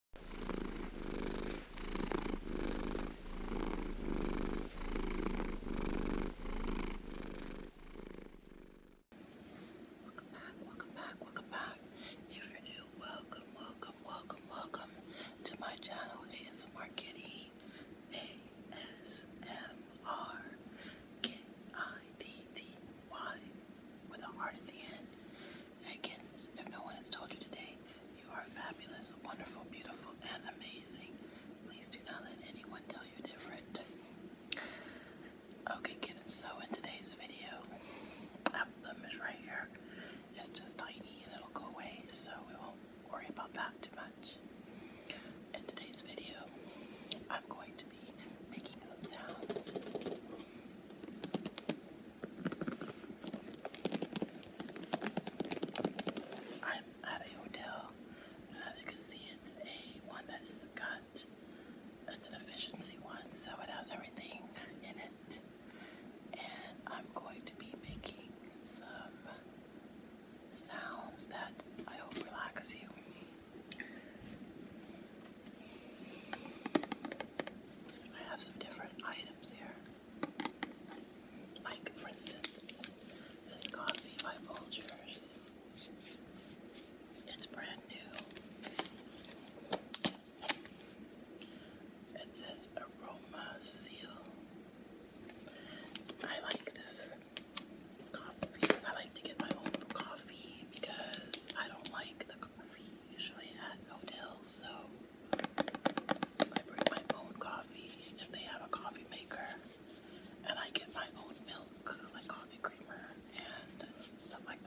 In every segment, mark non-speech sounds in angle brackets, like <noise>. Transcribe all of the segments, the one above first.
Welcome back, welcome back, welcome back. If you're new, welcome, welcome, welcome, welcome to my channel ASMR Kitty. A S M R K I D D Y with a heart at the end. Edkins, if no one has told you today, you are fabulous, wonderful, beautiful, and amazing. Please do not let anyone tell you different. Okay, kittens, so in today's video, album is right here. just tiny and it'll go away, so we won't worry about that too much. In today's video, I'm going to be making some sounds. I'm at a hotel, and as you can see, it's a one that's got it's an efficiency one, so it has everything in it. And I'm going to be making some sounds that I hope relax you. I have some different items here. Like, for instance, this coffee by Folgers. It's brand new. It says Aroma Seal. I like this coffee. I like to get my own coffee because I don't like the coffee usually at hotels, so I bring my own coffee if they have a coffee maker, and I get my own milk, like coffee creamer and stuff like that.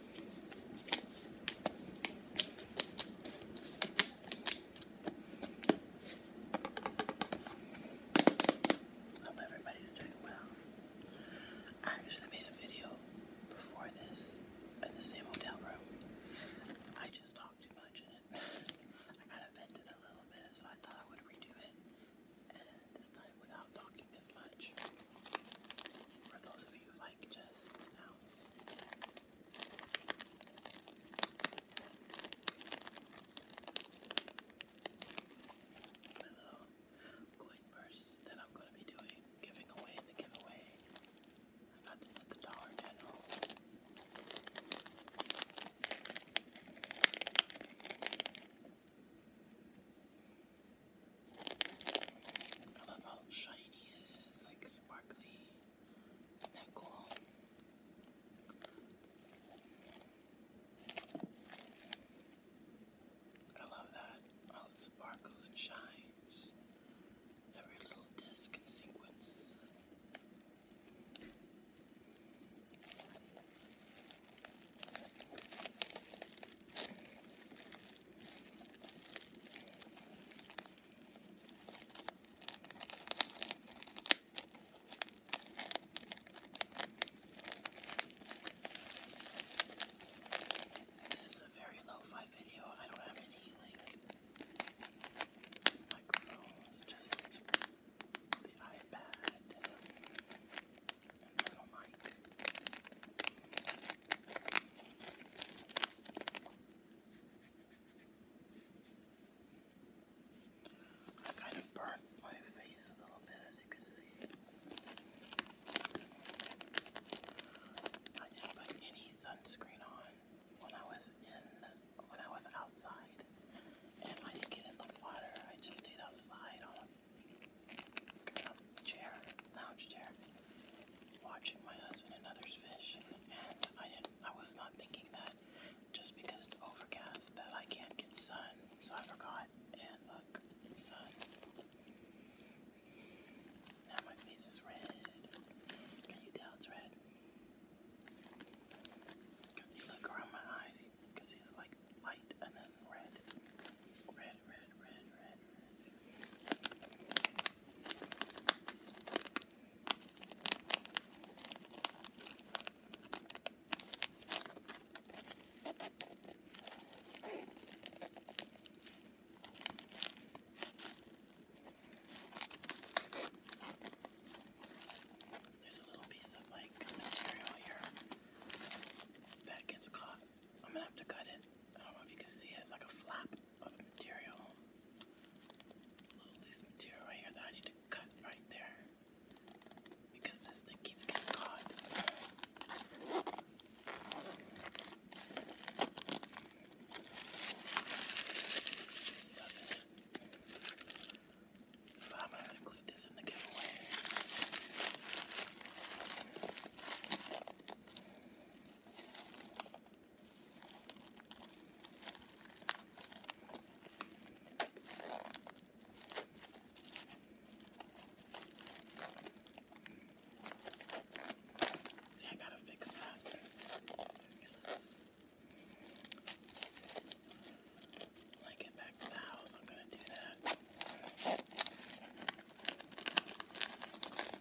Hope everybody's doing well. I actually made a video before this in the same hotel room. I just talked too much in <laughs> I kind of vented a little bit, so I thought I would redo it. And this time without talking as much. For those of you who like just sounds. My little coin that I'm going to be doing, giving away in the giveaway. I got this at the Dollar General. I love how shiny it is, like sparkly. is cool? I love that, how it sparkles and shines. Every little disc and sequence. This is a very lo-fi video. I don't have any like microphones, just the iPad and a little mic. I kind of burnt my face a little bit as you can see. I didn't put any sunscreen on when I was in when I was outside. And I didn't get in the water. I just stayed outside on a chair, lounge chair watching my husband and others fish, and I didn't. I was not thinking that just because it's overcast that I can't get sun. So I forgot, and look, it's sun. Now my face is red. Can you tell it's red? Cause see, look around my eyes. Cause see, it's like light and then red, red, red, red, red. red. There's a little piece of like material here that gets caught I'm gonna have to cut it. I don't know if you can see it. It's like a flap of material. A little loose material right here that I need to cut right there. Because this thing keeps getting caught. I'm gonna include this in the giveaway. See, I gotta fix that. When I get back to the house, I'm gonna do that.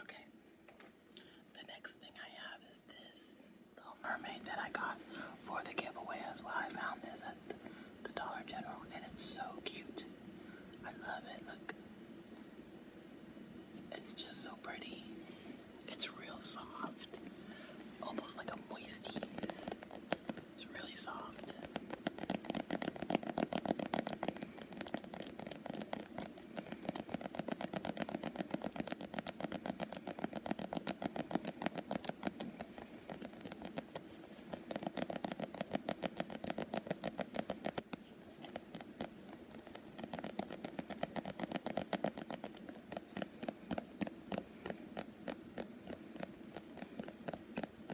Okay. The next thing I have is this Little Mermaid that I got for the giveaway as well. I found this at the Dollar General and it's so cute. I love it. Look. It's just so pretty. It's real soft. Almost like a moisty. It's really soft.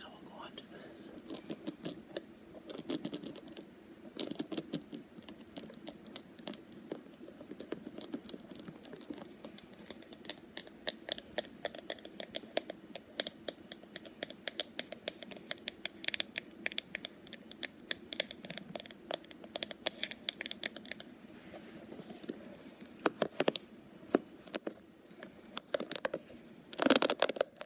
I will go on to this.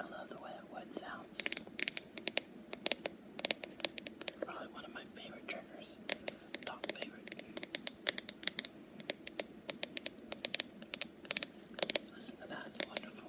I love the way that wood sounds. Probably one of my favorite triggers. Top favorite. Listen to that, it's wonderful.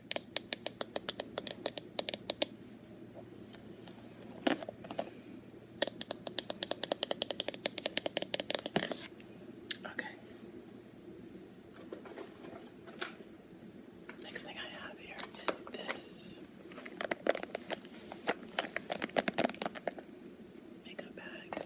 Okay. Next thing I have here is this makeup bag.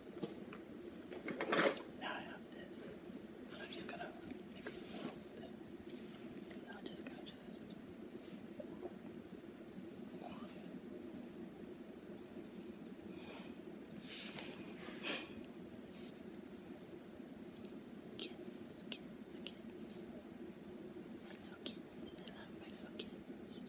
Now I have this. And I'm just gonna mix this up I'm just gonna just Kids, kids, kids. little kids. I love little kids.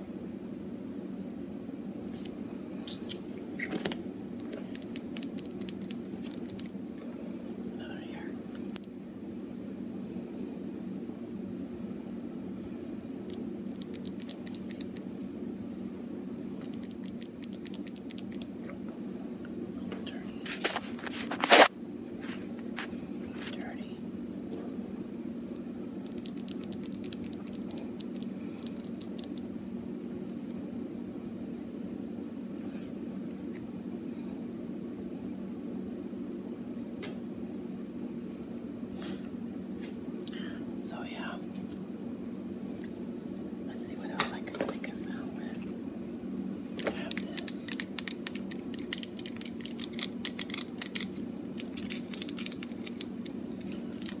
Another here. Dirty. Dirty. So yeah, let's see what else I can make a sound with. I have this.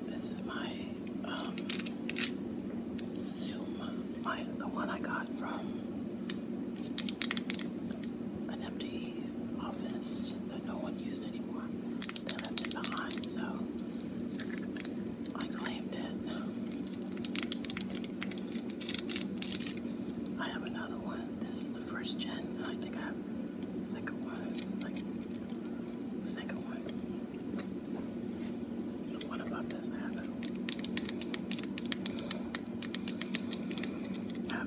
This is my um, Zoom, the one I got from an empty office that no one used anymore. They left it behind, so I claimed it. I have another one. This is the first gen, I think I have the of one. Like the second one. The one above does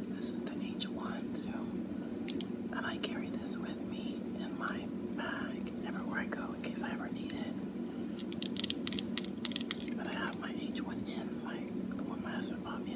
this is the H1, so and I carry this with me in my bag everywhere I go in case I ever need it. But I have my H1N, like the one my husband bought me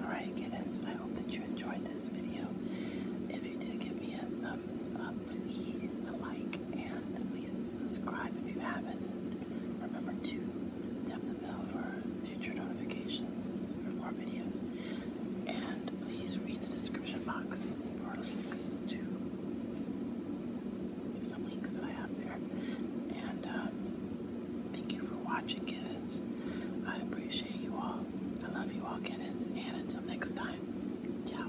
Alright, kittens, I hope that you enjoyed this video. If you did, give me a thumbs up, please, like, and please subscribe if you haven't. Remember to tap the bell for future notifications for more videos. And please read the description box for links to, some links that I have there. And uh, thank you for watching, kittens. I appreciate you all. I love you all, kittens. And until next time, ciao.